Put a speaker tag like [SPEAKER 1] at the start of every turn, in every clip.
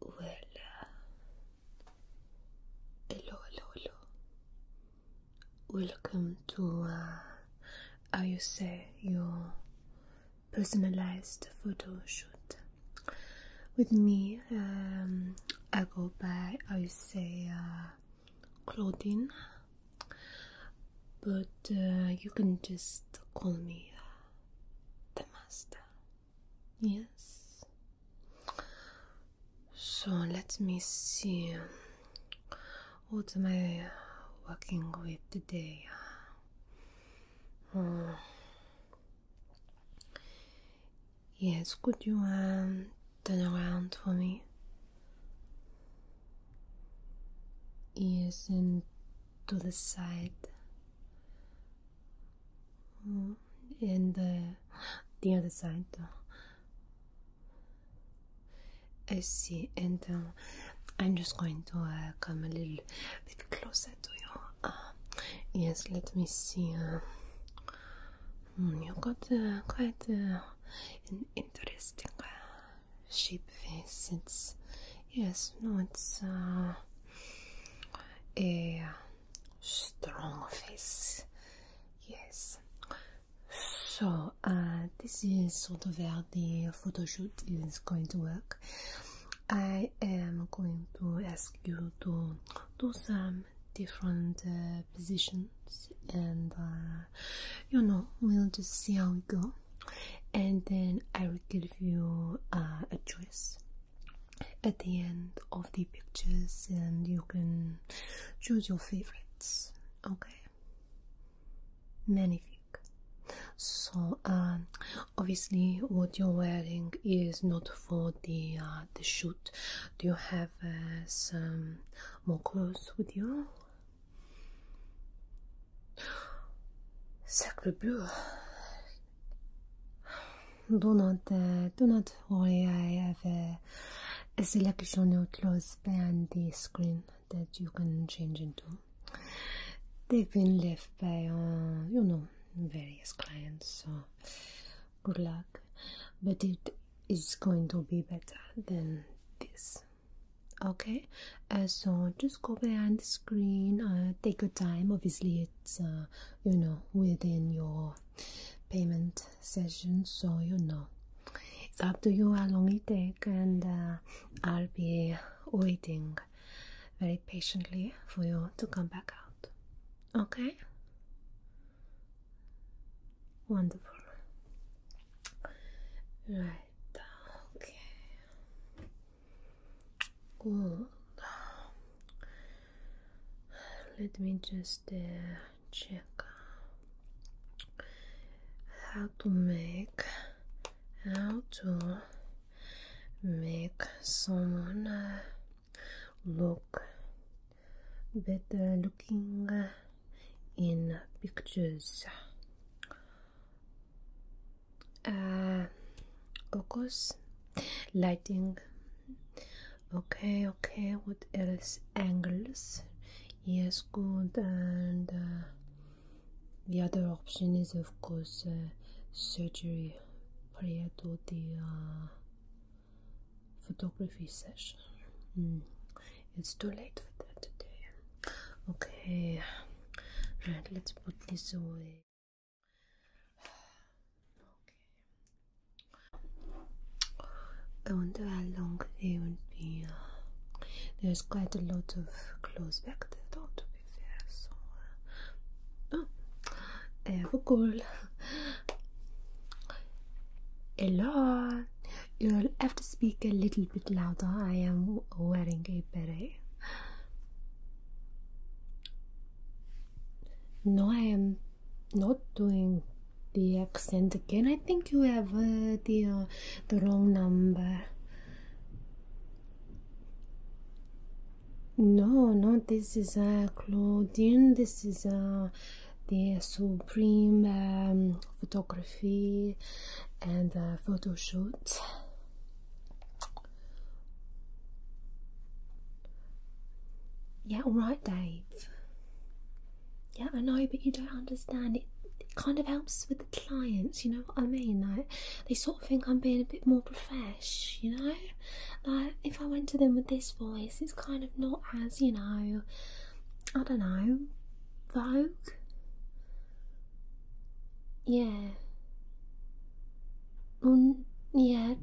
[SPEAKER 1] Well, hello, hello, Welcome to, uh, say, your personalized photo shoot. With me, um, I go by, I say, uh, Claudine. But uh, you can just call me uh, the master. Yes. So let me see um, what am I working with today. Hmm. Yes, could you um, turn around for me? Yes, and to the side and uh, the other side. I see, and um, I'm just going to uh, come a little bit closer to you. Uh, yes, let me see. Uh, hmm, you got quite an interesting shape face. It's yes, no, it's a strong face. Yes. So uh, this is sort of where the photo shoot is going to work. I am going to ask you to do some different uh, positions and uh, you know we'll just see how we go and then I will give you uh, a choice at the end of the pictures and you can choose your favorites okay many magnifique so um, obviously what you're wearing is not for the uh, the shoot do you have uh, some more clothes with you Sacre bleu. Do not, worry. I have a, selection of clothes behind the screen that you can change into. They've been left by, uh, you know, various clients. So, good luck. But it is going to be better than this okay uh, so just go behind the screen uh, take your time obviously it's uh, you know within your payment session so you know it's up to you how long it takes and I'll be waiting very patiently for you to come back out okay wonderful right okay Let me just uh, check uh, how to make how to make someone uh, look better looking in pictures uh, Focus, lighting. Okay, okay. What else? Angles. Yes, good. And uh, the other option is, of course, uh, surgery prior to the uh, photography session. Hmm. It's too late for that today. Okay, right, let's put this away. I wonder how long they would be. Uh, there's quite a lot of clothes back there, though, to be fair. So, uh, oh, I have a goal. Hello, you'll have to speak a little bit louder. I am wearing a beret. No, I am not doing the accent again. I think you have uh, the uh, the wrong number. No, no, this is uh, Claudine. This is uh, the supreme um, photography and uh, photo shoot. Yeah, all right, Dave. Yeah, I know, but you don't understand. It, kind of helps with the clients, you know what I mean? Like, they sort of think I'm being a bit more profesh, you know? Like, if I went to them with this voice, it's kind of not as, you know, I don't know, vogue. Yeah. Um, yeah.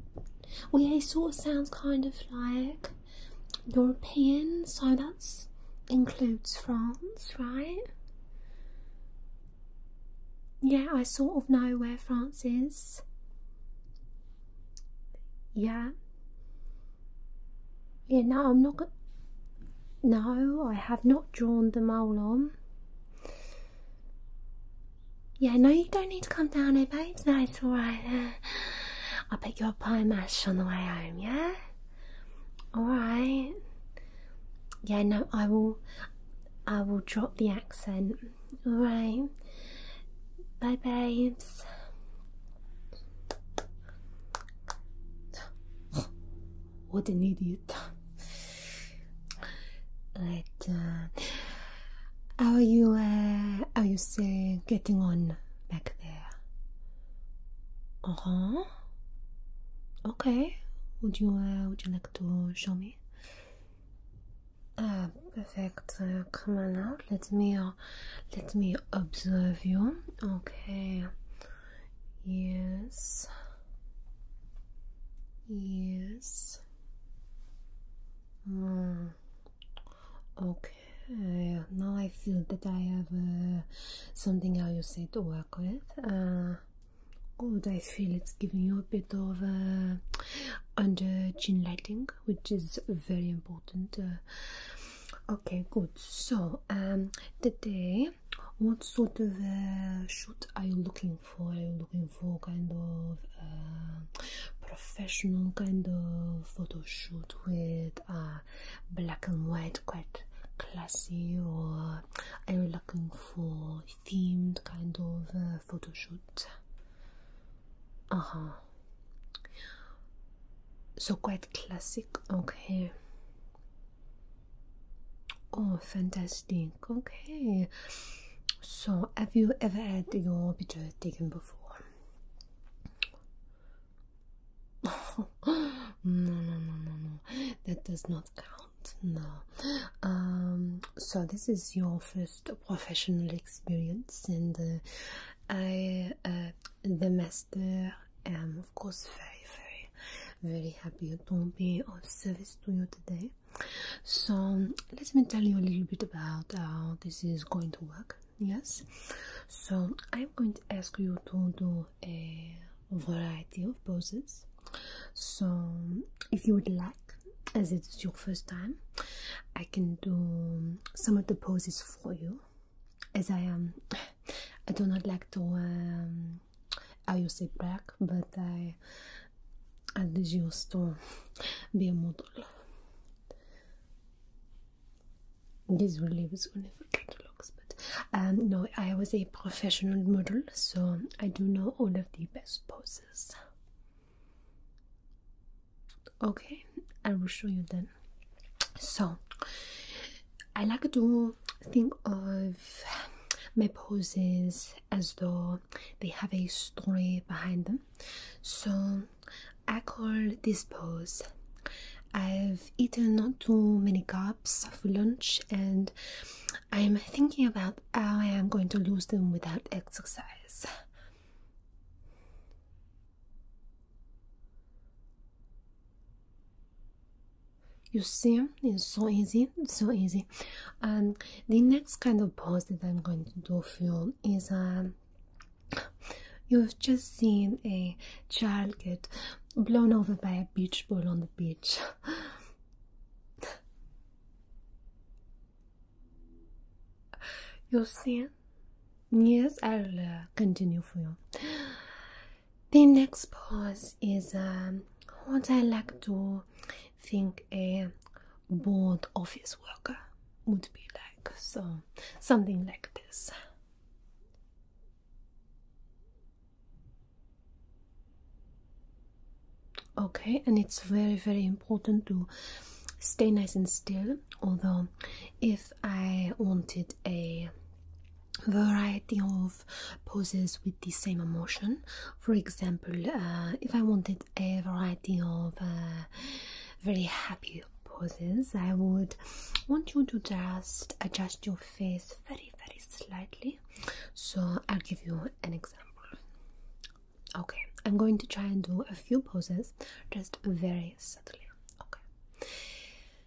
[SPEAKER 1] Well, yeah, it sort of sounds kind of like European, so that's includes France, right? Yeah, I sort of know where France is. Yeah. Yeah, no, I'm not gonna. No, I have not drawn the mole on. Yeah, no, you don't need to come down here, babes. No, it's alright. I'll pick you up pie mash on the way home, yeah? Alright. Yeah, no, I will I will drop the accent. Alright. Bye babes. what an idiot it. Uh, how are you? Uh, how you say getting on back there? Uh huh. Okay. Would you? Uh, would you like to show me? Ah, perfect. Uh, come on out. Let me. let me observe you. Okay. Yes. Yes. Mm. Okay. Now I feel that I have uh, something how you say to work with. Uh, good. I feel it's giving you a bit of uh, under chin lighting, which is very important. okay. Good. So um, today what sort of uh, shoot are you looking for are you looking for kind of uh, professional kind of photo shoot with black and white quite classy or are you looking for themed kind of uh, photo shoot uh-huh so quite classic okay Oh, fantastic. Okay. So, have you ever had your picture taken before? no, no, no, no, no. That does not count. No. Um, so, this is your first professional experience, and uh, I, uh, the master, am um, of course very very very happy to be of service to you today so let me tell you a little bit about how this is going to work yes so i'm going to ask you to do a variety of poses so if you would like as it is your first time i can do some of the poses for you as i am um, i do not like to um, I use it back, but I I used to be a model. This will leave whenever it looks, but um, no, I was a professional model, so I do know all of the best poses. Okay, I will show you then. So, I like to think of my poses as though they have a story behind them. So I call this pose I've eaten not too many cups for lunch and I'm thinking about how I am going to lose them without exercise. You see, it's so easy, so easy. And um, the next kind of pose that I'm going to do for you is um, you've just seen a child get blown over by a beach ball on the beach. you see? it? Yes, I'll uh, continue for you. The next pose is um, what I like to think a board office worker would be like. So, something like this. Okay, and it's very, very important to stay nice and still. Although, if I wanted a variety of poses with the same emotion. For example, uh, if I wanted a variety of uh, very happy poses, I would want you to just adjust your face very, very slightly. So, I'll give you an example. Okay, I'm going to try and do a few poses just very subtly. Okay,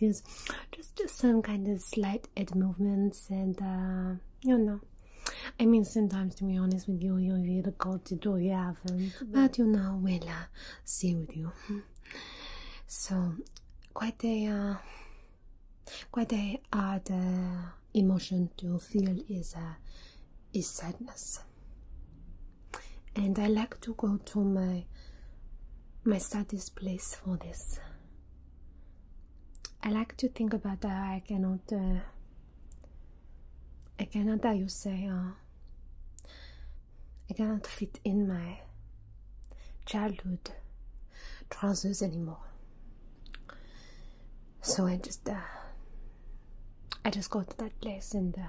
[SPEAKER 1] Is just, just some kind of slight head movements and uh, you know I mean sometimes to be honest with you you really got to do you have but you know we'll uh, see with you so quite a uh, quite a hard emotion to feel is is sadness and I like to go to my my saddest place for this I like to think about that. I cannot. Uh, I cannot, how say, uh, I cannot fit in my childhood trousers anymore. So I just, uh, I just go to that place and. Uh,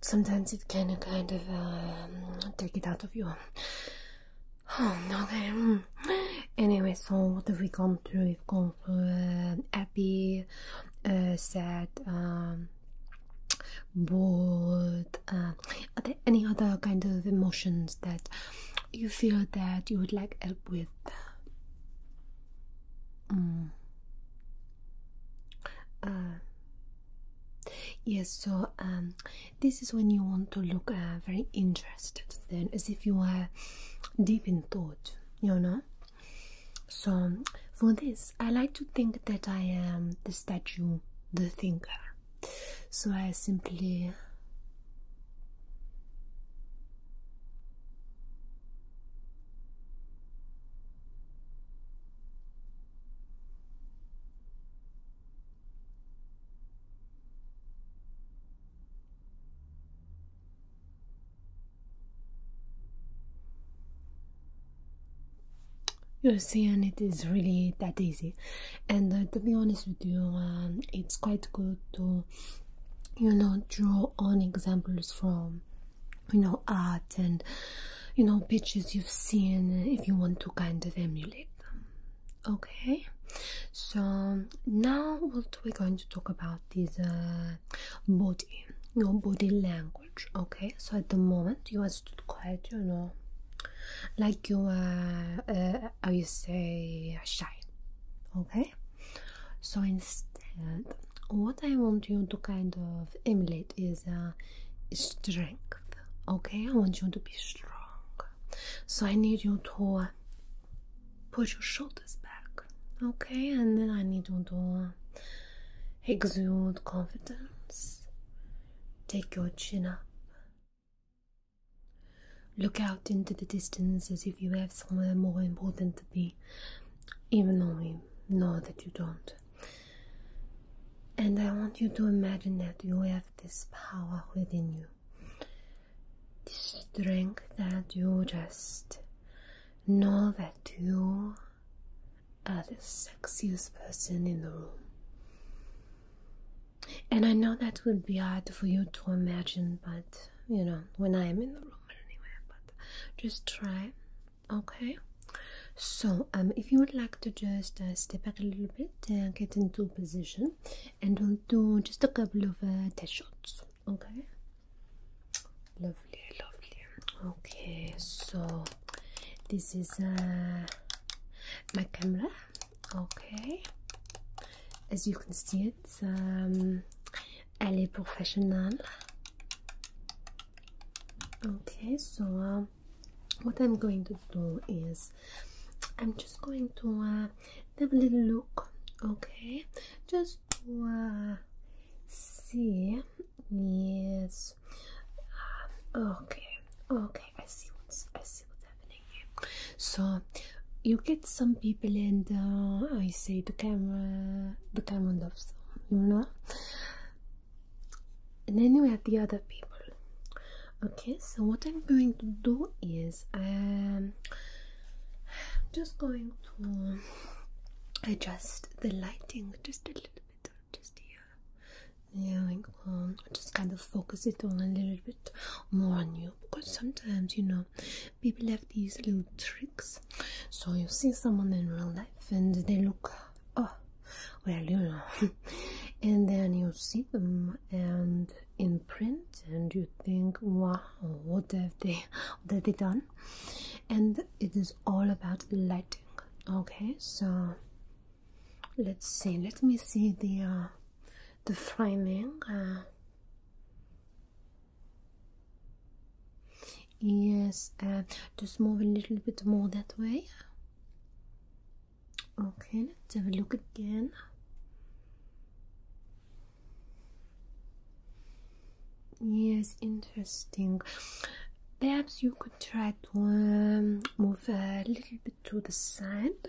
[SPEAKER 1] sometimes it can kind of um, take it out of you. okay. Mm. Anyway, so what have we gone through? We've gone through uh, happy, uh, sad, um, bored. Uh, are there any other kind of emotions that you feel that you would like help with? Mm. Uh, Yes, so um, this is when you want to look uh, very interested, then as if you are deep in thought, you know. So for this, I like to think that I am the statue, the thinker. So I simply you see, and it is really that easy, and uh, to be honest with you, um, it's quite good to, you know, draw on examples from, you know, art and you know pictures you've seen if you want to kind of emulate them okay so now what we're going to talk about is uh, body your body language okay so at the moment you are stood quiet you know like you are uh, how you say shy okay so instead what i want you to kind of emulate is uh, strength okay? I want you to be strong. So I need you to uh, put your shoulders back, okay? And then I need you to uh, exude confidence. Take your chin up. Look out into the distance as if you have somewhere more important to be, even though we know that you don't. And I want you to imagine that you have this power within you, this strength that you just know that you are the sexiest person in the room. And I know that would be hard for you to imagine, but you know, when I am in the room anyway, but just try okay so um if you would like to just uh, step back a little bit and get into position and we'll do just a couple of uh, shots okay lovely lovely okay so this is uh, my camera okay as you can see it's um elle est professional okay so um, what I'm going to do is I'm just going to uh, have a little look, okay? Just uh, see, yes, ah, okay, okay. I see what's I see what's happening here. So you get some people, and uh, I say the camera, the camera loves them, you know and then we have the other people okay so what i'm going to do is um, I'm just going to adjust the lighting just a little bit just here yeah like, um, just kind of focus it on a little bit more on you because sometimes you know people have these little tricks so you see someone in real life and they look oh well you know and then you see them and in print and you think wow what have they what have they done and it is all about lighting okay so let's see let me see the uh, the framing uh yes uh, just move a little bit more that way okay let's have a look again yes interesting perhaps you could try to um, move a little bit to the side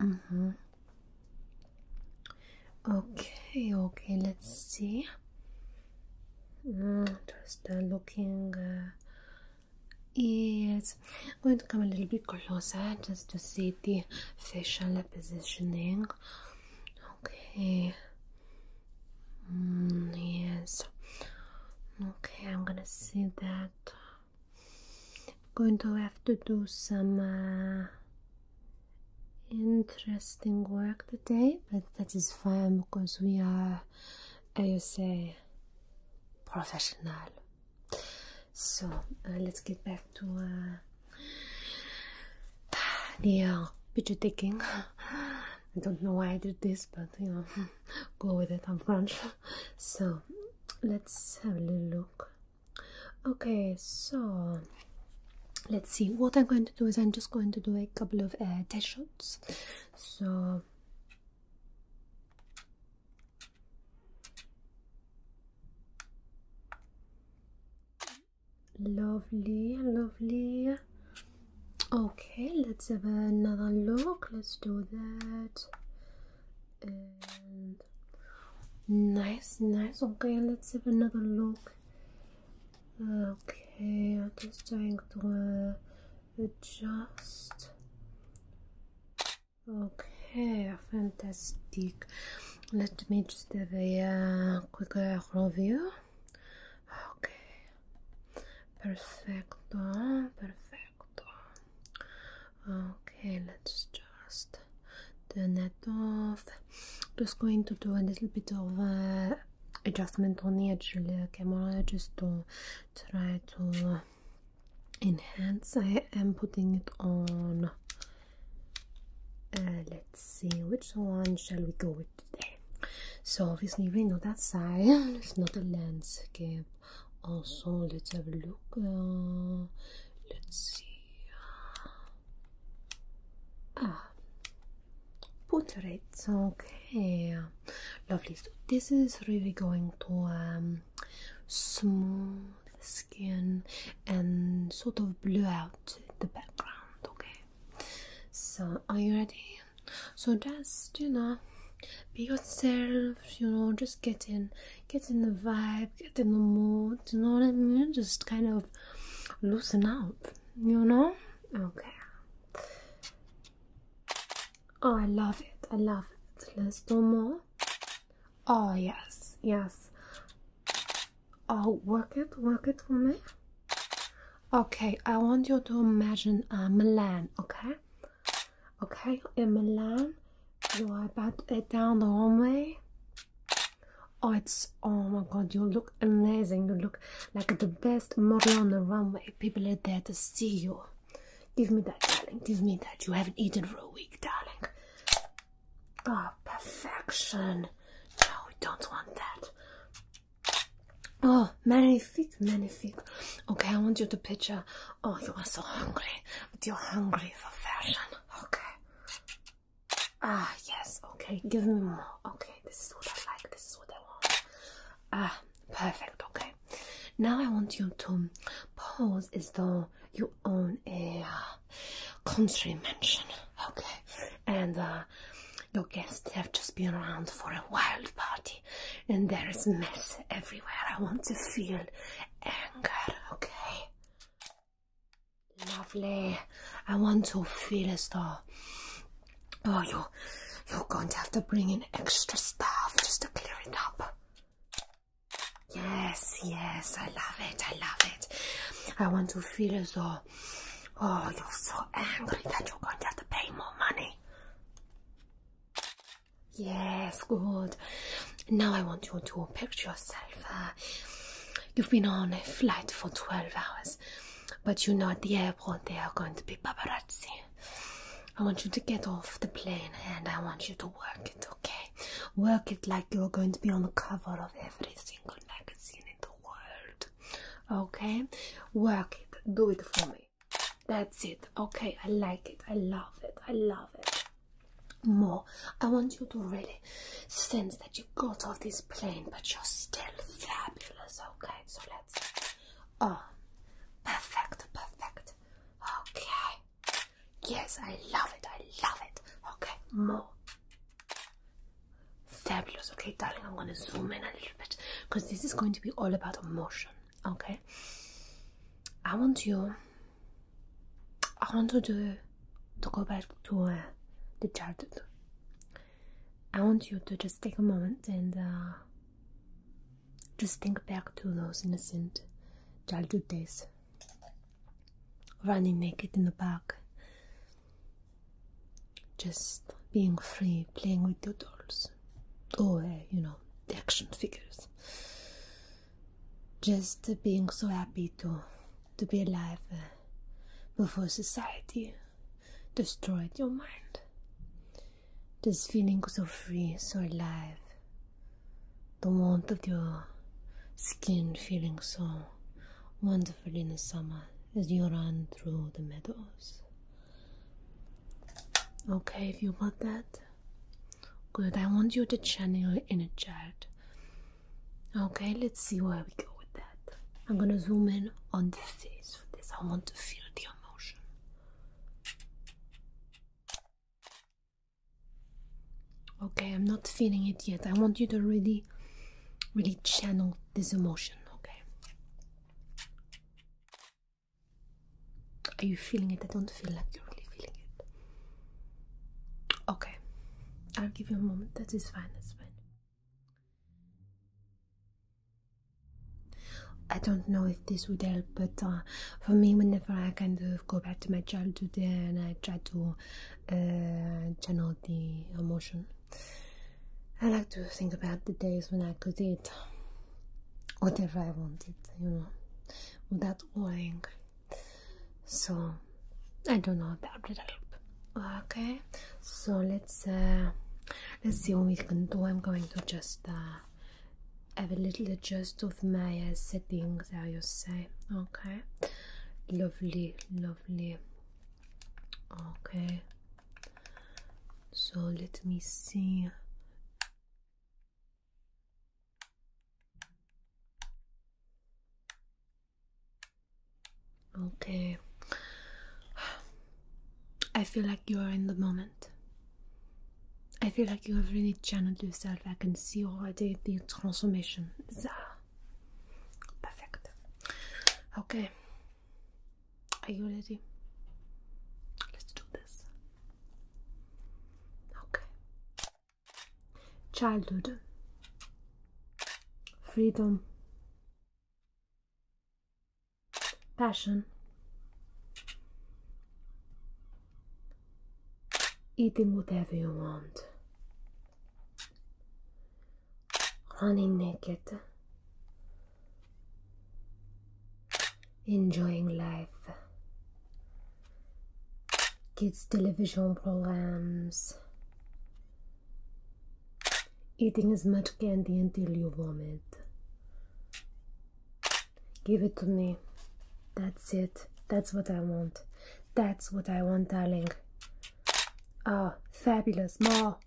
[SPEAKER 1] mm -hmm. okay okay let's see just uh, looking uh, going to come a little bit closer just to see the facial positioning. Okay. Mm, yes. Okay, I'm gonna see that. I'm going to have to do some uh, interesting work today, but that is fine because we are I would say professional. So eh, let's get back to eh, uh, the picture taking. I don't know why I did this, but you know, go with it. I'm French, so let's have a little look. Okay, so let's see. What I'm going to do is I'm just going to do a couple of uh, test shots so lovely lovely okay let's have another look let's do that and nice nice okay let's have another look Okay, I'm just trying to uh, adjust. Okay, fantastic. Let me just do a uh, quick review. Okay, perfecto, perfecto. Okay, let's just turn that off. Just going to do a little bit of uh, adjustment on the edge look I'm just to try to enhance I am putting it on uh, let's see which one shall we go with today so obviously we know that side it's not a landscape also let's have a look uh, let's see ah, Put it. okay lovely so this is really going to um, smooth skin and sort of blur out the background okay so are you ready so just you know be yourself you know just get in get in the vibe get in the mood you know what i mean just kind of loosen up you know okay Oh, I love it. I love it. Let's do more. Oh, yes, yes. Oh, work it, work it for me. Okay, I want you to imagine a uh, Milan, okay? Okay, in Milan, you are about it down the runway. Oh, it's Oh my god, you look amazing. You look like the best model on the runway. People are there to see you. Give me that, darling. Give me that. You haven't eaten for a week, darling. Oh, perfection. No, we don't want that. Oh, many many magnifique. Okay, I want you to picture. Oh, you are so hungry, but you're hungry for fashion. Okay. Ah, yes. Okay, give me more. Okay this is what I like, this is what I want. Ah, perfect, okay. Now I want you to pose as though you own a uh, country mansion, okay? And uh, your guests have just been around for a wild party and there is mess everywhere. I want to feel anger, okay? Lovely. I want to feel as though Oh, you're, you're going to have to bring in extra stuff just to clear it up. Yes, yes, I love it, I love it. I want to feel as though, oh, you're so angry that you're going to have to pay more money. Yes, good. Now I want you to picture yourself. Uh, you've been on a flight for 12 hours. But you know, at the airport, They are going to be paparazzi. I want you to get off the plane and I want you to work it, okay? Work it like you're going to be on the cover of every single magazine in the world, okay? Work it, do it for me. That's it, okay? I like it, I love it, I love it. More, I want you to really sense that you got off this plane, but you're still fabulous. Okay, so let's. Oh, perfect, perfect. Okay. Yes, I love it. I love it. Okay, more. Fabulous. Okay, darling, I'm going to zoom in a little bit because this is going to be all about emotion. Okay. I want you. I want you to, to go back to uh, the childhood. I want you to just take a moment and uh, just think back to those innocent childhood days. Running naked in the park, just being free, playing with your dolls, or uh, you know, the action figures. Just being so happy to to be alive uh, before society destroyed your mind. This feeling so free, so alive. The warmth of your skin feeling so wonderful in the summer as you run through the meadows. Okay, if you want that, good. I want you to channel in a chart. Okay, let's see where we go with that. I'm gonna zoom in on the face for this. I want to feel the emotion. Okay, I'm not feeling it yet. I want you to really, really channel this emotion, okay? Are you feeling it? I don't feel like you're really feeling it. Okay, I'll give you a moment. That is fine, that's fine. I don't know if this would help, but uh, for me, whenever I kind of go back to my childhood and I try to uh, channel the emotion, I like to think about the days when I could eat whatever I wanted, you know, without worrying. So I don't know that would help. Okay, so let's uh, let's see what we can do. I'm going to just uh, have a little adjust of my uh, settings, I you say. Okay, lovely, lovely. Okay, so let me see. Okay. I feel like you are in the moment. I feel like you have really channeled yourself. I can see already the transformation. Zah. Perfect. Okay. Are you ready? Let's do this. Okay. Childhood. Freedom passion, eating whatever you want, running naked, enjoying life, kids' television programs, Eating as much candy until you vomit. Give it to me. That's it. That's what I want. That's what I want, darling. Ah, oh, fabulous. More.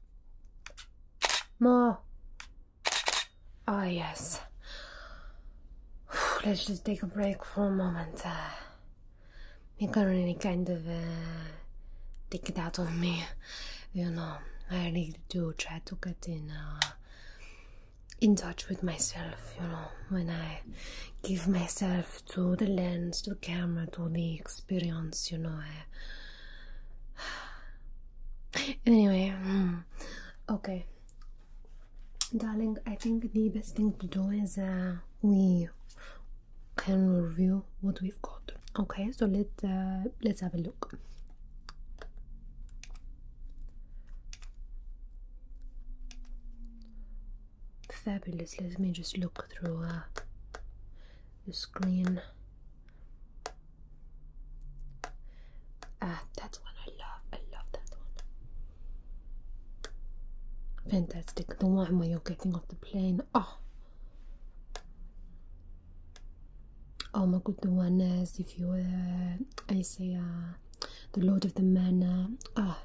[SPEAKER 1] More. Ah, oh, yes. Let's just take a break for a moment. Uh, you can any kind of take it out of me you know i really do try to get in uh, in touch with myself you know when i give myself to the lens to the camera to the experience you know anyway mm, okay darling i think the best thing to do is uh, we can review what we've got. Okay, so let uh, let's have a look. Fabulous. Let me just look through uh, the screen. Ah, that one I love. I love that one. Fantastic. The one where you're getting off the plane. Oh, Oh my good the one is if you uh, I say uh, the Lord of the Manor. Ah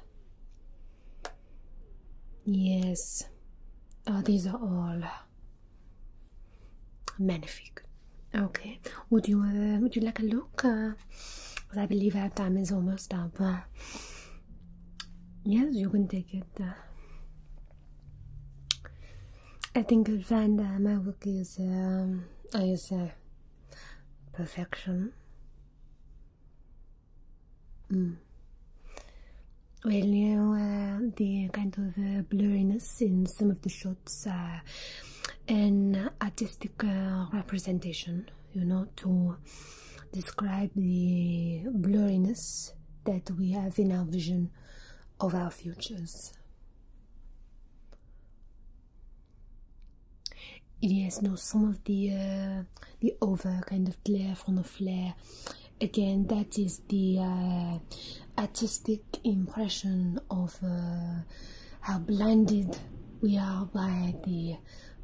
[SPEAKER 1] yes. Oh, these are all magnific. Okay. Would you uh, would you like a look? Because uh, I believe our time is almost up. Uh, yes, you can take. I think you'll find uh, my book is um, uh, perfection. Mm. Well, you uh, the kind of blurriness in some of the shots an artistic representation you know to describe the blurriness that we have in our vision of our futures yes no some of the uh, the over kind of glare from the flare again that is the uh, artistic impression of uh, how blinded we are by the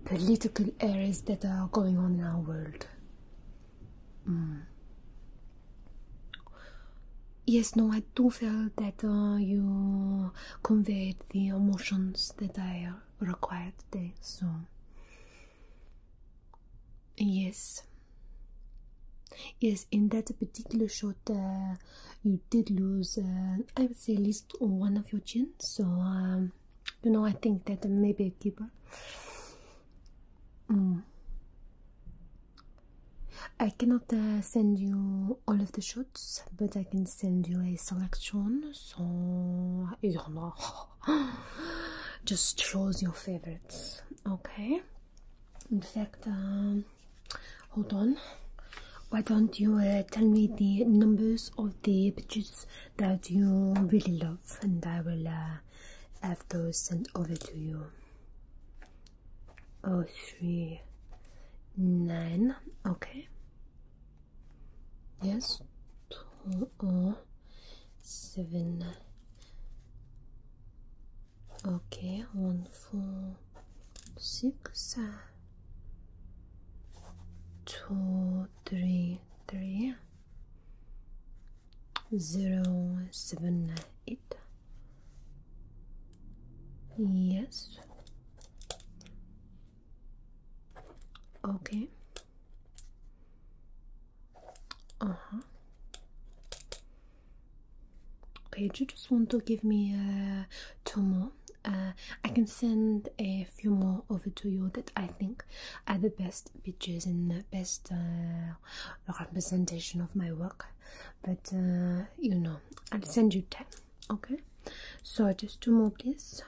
[SPEAKER 1] political errors that are going on in our world. Hmm. Yes, no, I do feel that uh, you conveyed the emotions that I uh, required today, so. Yes. Yes, in that particular shot, uh, you did lose, I would say, at least one of your chins, so um, you know, I think that maybe a keeper. Mm. I cannot uh, send you all of the shots, but I can send you a selection. So you know, just choose your favorites, okay? In fact, um, hold on. Why don't you uh, tell me the numbers of the pictures that you really love and I will uh, have those sent over to you. Oh three nine okay yes two, oh, seven okay one four six uh, two three three zero seven eight. Yes. Okay. Uh huh. Okay, do you just want to give me uh, two more? Uh, I can send a few more over to you that I think are the best pictures and the best uh, representation of my work. But uh, you know, I'll send you 10. Okay, so just two more, please.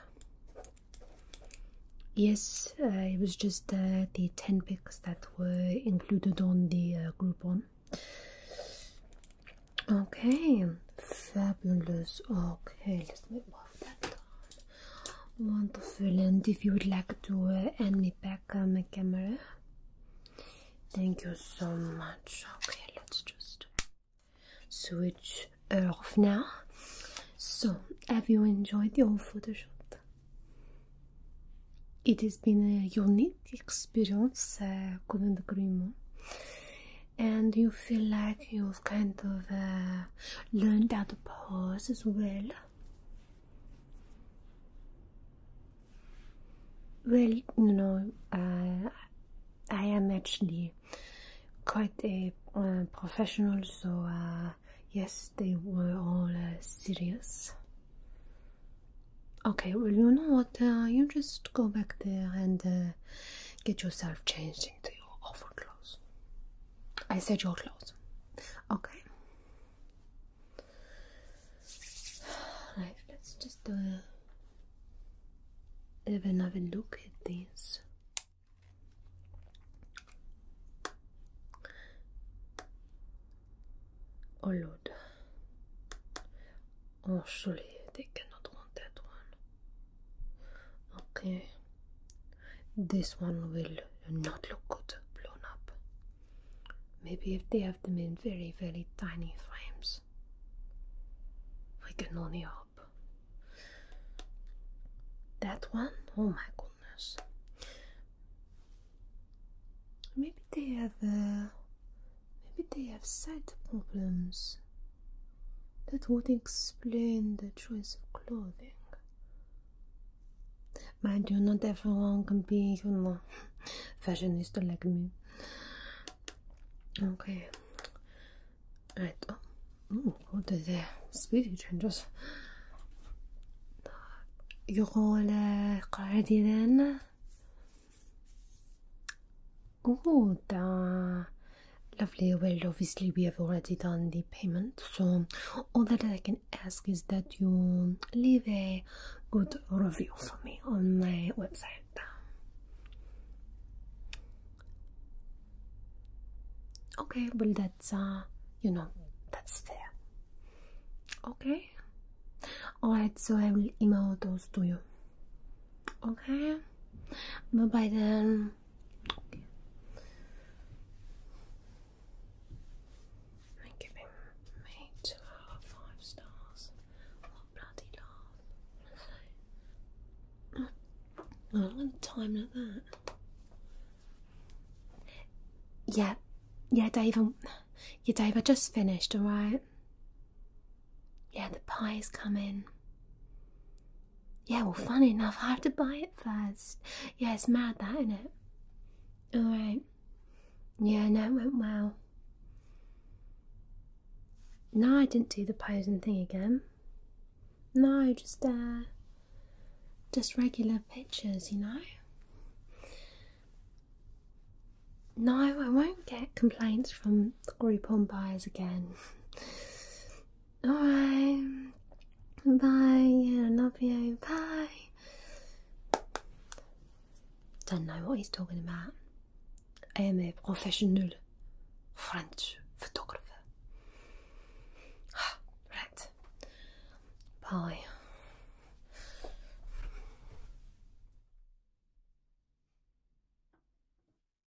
[SPEAKER 1] Yes, uh, it was just the 10 pics that were included on the uh, Groupon. Okay, fabulous. Okay, let's move that Wonderful, and if you would like to uh, hand me back uh, my camera, thank you so much. Okay, let's just switch off now. So, have you enjoyed your photo shoot? It has been a unique experience, couldn't agree more and you feel like you've kind of uh, learned how to pause as well. Well, you know, uh, I am actually quite a uh, professional, so yes, they were all serious. Okay, well, you know what? you just go back there and get yourself changed into your over I said your clothes. Okay. let's just do a, have another look at this. Oh lord. Oh surely they cannot want that one. Okay, this one will not look good blown up. Maybe if they have them in very, very tiny frames. We can only hope. That one? Oh my goodness. Maybe they have. Uh, maybe they have sight problems. That would explain the choice of clothing. Mind you, not everyone can be, you know, fashionista like me. Okay. Right. Oh, Ooh, go to the speedy changes. يقول قاعدين Good. Uh, lovely. world. obviously, we have already done the payment, so all that I can ask is that you leave a good review for me on my website. Okay, well, that's uh, you know, that's fair. Okay, all right, so I will email those to you. Okay, bye bye then. I give him me two out of five stars. What bloody laugh. I love a time like that. Yeah, yeah, Dave. I'm, yeah, Dave. I just finished. All right. Yeah, the pie's coming. Yeah, well, funny enough, I have to buy it first. Yeah, it's mad that, isn't it? Alright. Yeah, no, it went well. No, I didn't do the posing thing again. No, just, uh, just regular pictures, you know? No, I won't get complaints from the Groupon buyers again. Alright. Bye. Yeah, love you. Bye. Don't know what he's talking about. I am a professional French photographer. right. Bye.